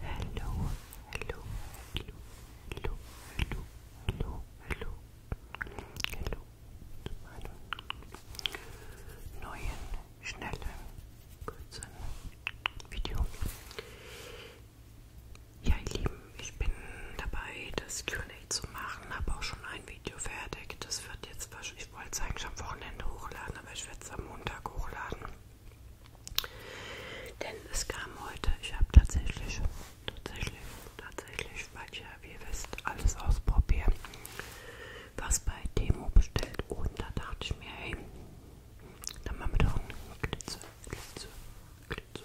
hello, hello, hello, hello, hello, hello, hello, hello, zu meinem neuen, schnellen, kurzen Video. Ja, ihr Lieben, ich bin dabei, das Q&A zu machen, habe auch schon ein Video fertig, das wird jetzt jetzt ich wollte es eigentlich am Wochenende hochladen, aber ich werde es am Montag hochladen. Denn es kam heute, ich habe tatsächlich, tatsächlich, tatsächlich, weil ich ja, wie ihr wisst, alles ausprobieren, was bei Demo bestellt. Und da dachte ich mir, hey, dann machen wir doch einen Glitzer, Glitzer, Glitzer,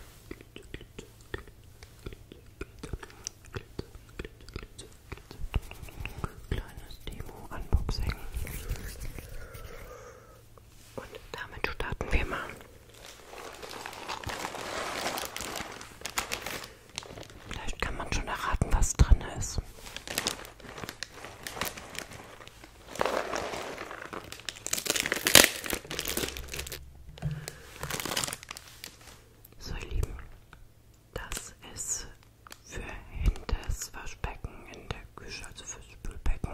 Glitzer, Glitzer, Glitzer, Glitzer, Glitzer, Glitzer, Glitzer, kleines Demo-Unboxing. Und damit starten wir mal. Vielleicht kann man schon erraten, was drin ist. So, ihr Lieben, das ist für hinters Waschbecken in der Küche, also fürs Spülbecken,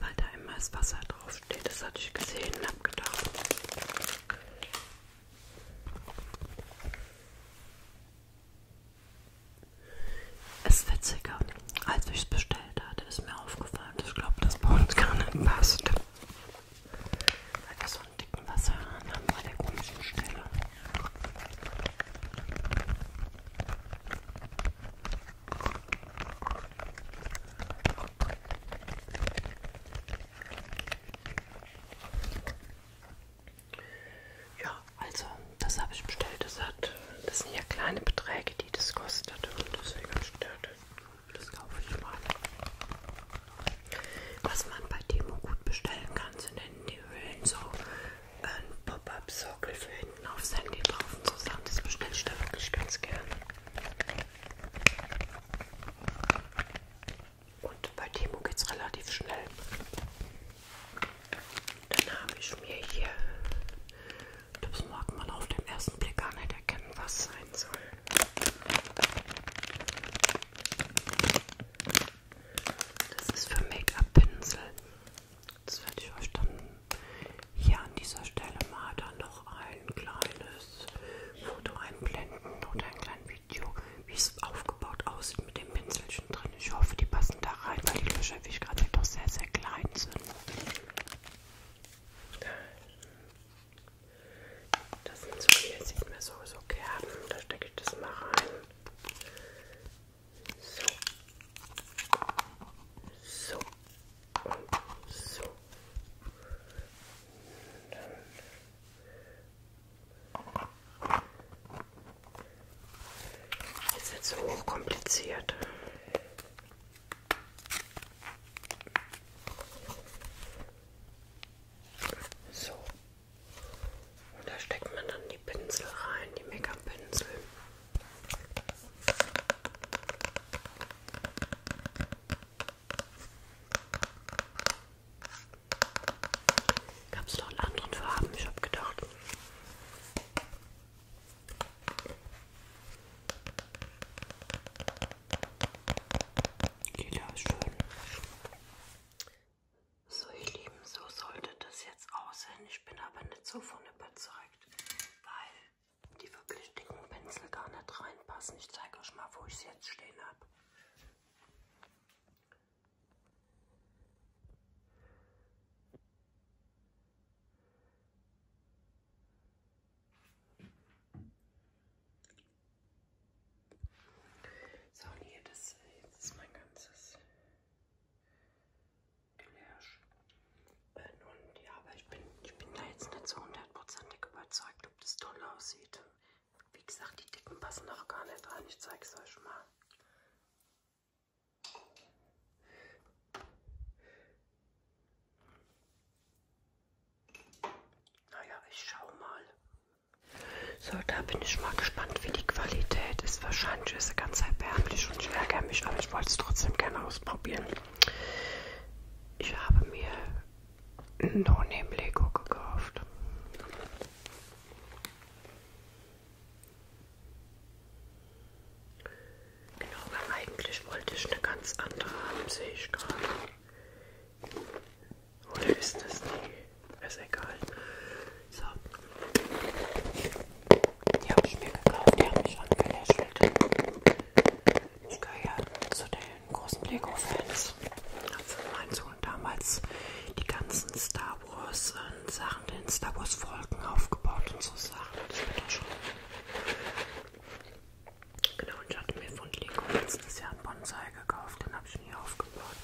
weil da immer das Wasser draufsteht. Das hatte ich gesehen und habe gedacht. Es ist witziger, als ich es bestellt hatte, ist mir aufgefallen. Ich glaube, das bei uns gar nicht passt. Weil wir so einen dicken Wasserhahn haben bei der komischen Stelle. Ja, also das habe ich bestellt. Das, hat, das sind ja kleine Beträge, die das kostet. Und deswegen habe ich gedacht, das kaufe ich mal. Was man bei Temo gut bestellen kann, sind in die Höhlen so ein Pop-Up-Sockel für hinten aufs Handy drauf und zusammen. Das bestelle ich da wirklich ganz gern. Und bei Temo geht es relativ schnell. Dann habe ich mir hier, das mag man auf den ersten Blick gar nicht erkennen, was sein soll. Das ist für Make-up-Pinsel. Das werde ich euch dann hier an dieser Stelle mal dann noch ein kleines Foto einblenden oder ein kleines Video, wie es aufgebaut aussieht mit dem Pinselchen drin. Ich hoffe, die passen da rein, weil die Löcher, wie ich gerade sehe, doch sehr, sehr klein sind. Das sind so, hier sieht man sowieso Kerben. Da stecke ich das mal rein. So. So. Und so. Und dann ist jetzt so hochkompliziert. So. Und da steckt man dann die Pinsel rein, die Make-up-Pinsel. Gab es noch in anderen Farben? Ich habe gedacht. Jeder ist schön. So, ihr Lieben, so sollte das jetzt aussehen. Ich bin aber nicht so von überzeugt, weil die wirklich dicken Pinsel gar nicht reinpassen. Ich zeige euch mal, wo ich sie jetzt stehen habe. So, und hier, das, jetzt ist mein ganzes Gelärsch. Äh, nun, ja, aber ich bin, ich bin da jetzt nicht so hundertprozentig überzeugt, ob das toll aussieht. Wie gesagt, die Dicken passen auch gar nicht rein. Ich zeige es euch mal. Naja, ich schau mal. So, da bin ich mal gespannt, wie die Qualität ist. Wahrscheinlich ist sie ganz erbärmlich und ich ärgere mich, aber ich wollte es trotzdem gerne ausprobieren. Ich habe mir No-Name Lego gekauft. Genau, weil eigentlich wollte ich eine ganz andere haben, sehe ich gerade. Oder ist das die? Ist egal. So. Die habe ich mir gekauft, die haben mich angelächelt. Ich gehöre ja zu den großen Lego-Fans. Also mein Sohn damals die ganzen Star Wars äh, Sachen, den Star Wars Folgen aufgebaut und so Sachen. Ich bin da schon Genau, und ich hatte mir von Lego letztes Jahr einen Bonsai gekauft, den habe ich nie aufgebaut.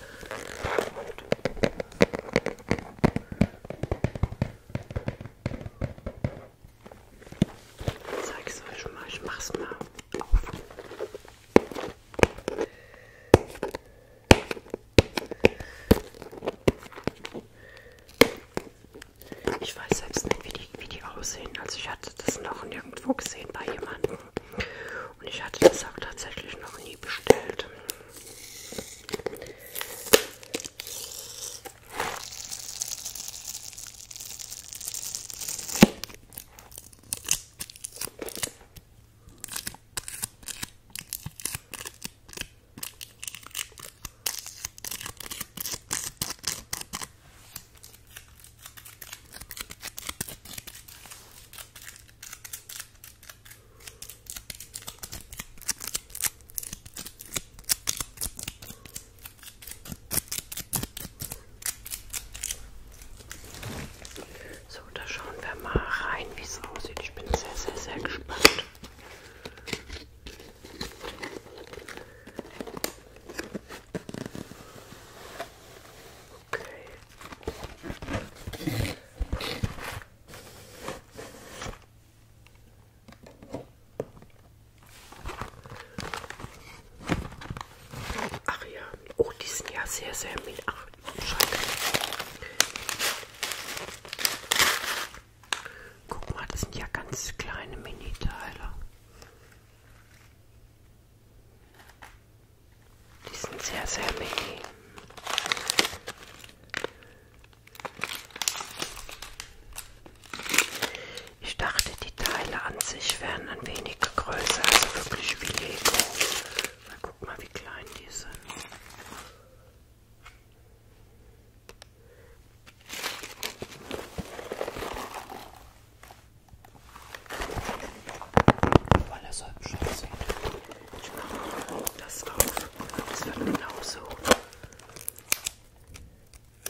Und zeige es euch mal, ich mach's mal auf. Ich weiß selbst nicht, wie die, wie die aussehen. Also ich hatte das noch nirgendwo gesehen bei jemandem. Und ich hatte das auch tatsächlich noch nie bestellt. So, da schauen wir mal rein, wie es aussieht. Ich bin sehr, sehr, sehr gespannt. Okay. Ach ja, oh, die sind ja sehr, sehr mit. Ach, Scheiße. Guck mal, das sind ja ganz kleine Mini-Teile. Die sind sehr, sehr mini. Ich dachte, die Teile an sich wären ein wenig größer, also wirklich wie Lego. Guck mal, wie klein die sind. Weil er so hübsch aussieht. Ich mache das auf. Das wird genauso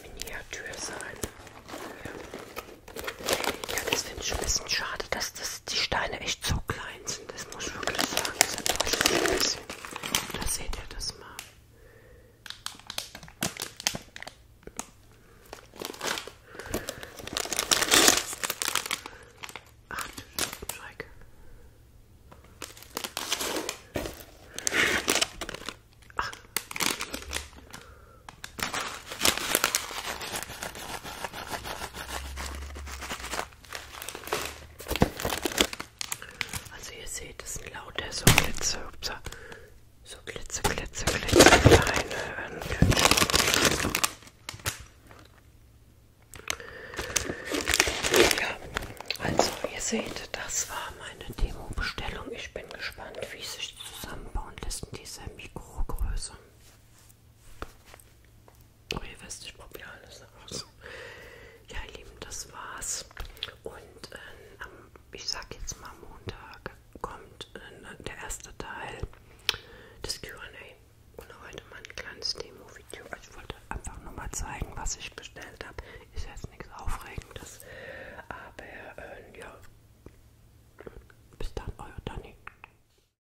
Miniatur sein. Ja, das finde ich ein bisschen schade, dass das, die Steine echt so klein Einsen, das muss ich wirklich sagen, das enttäuscht mich ein bisschen. Da seht ihr das mal. Ach du Schreck. Ach. Also ihr seht, es sind lauter so Glitzer, upsa, so Glitzer, Glitzer, Glitzer, kleine Hörnchen. Ja, also ihr seht, das war meine Demo-Bestellung. Ich bin gespannt, wie sich zusammenbauen lässt in dieser Mikrogröße. Oh, ihr wisst, ich probiere alles aus. Ja, ihr Lieben, das war's. Und äh, am, ich sag jetzt mal, Montag kommt äh, der erste Teil des QA. Und heute mal ein kleines Demo-Video. Also ich wollte einfach nur mal zeigen, was ich bestellt habe. Ist jetzt nichts Aufregendes. Aber äh, ja, bis dann, euer Dani.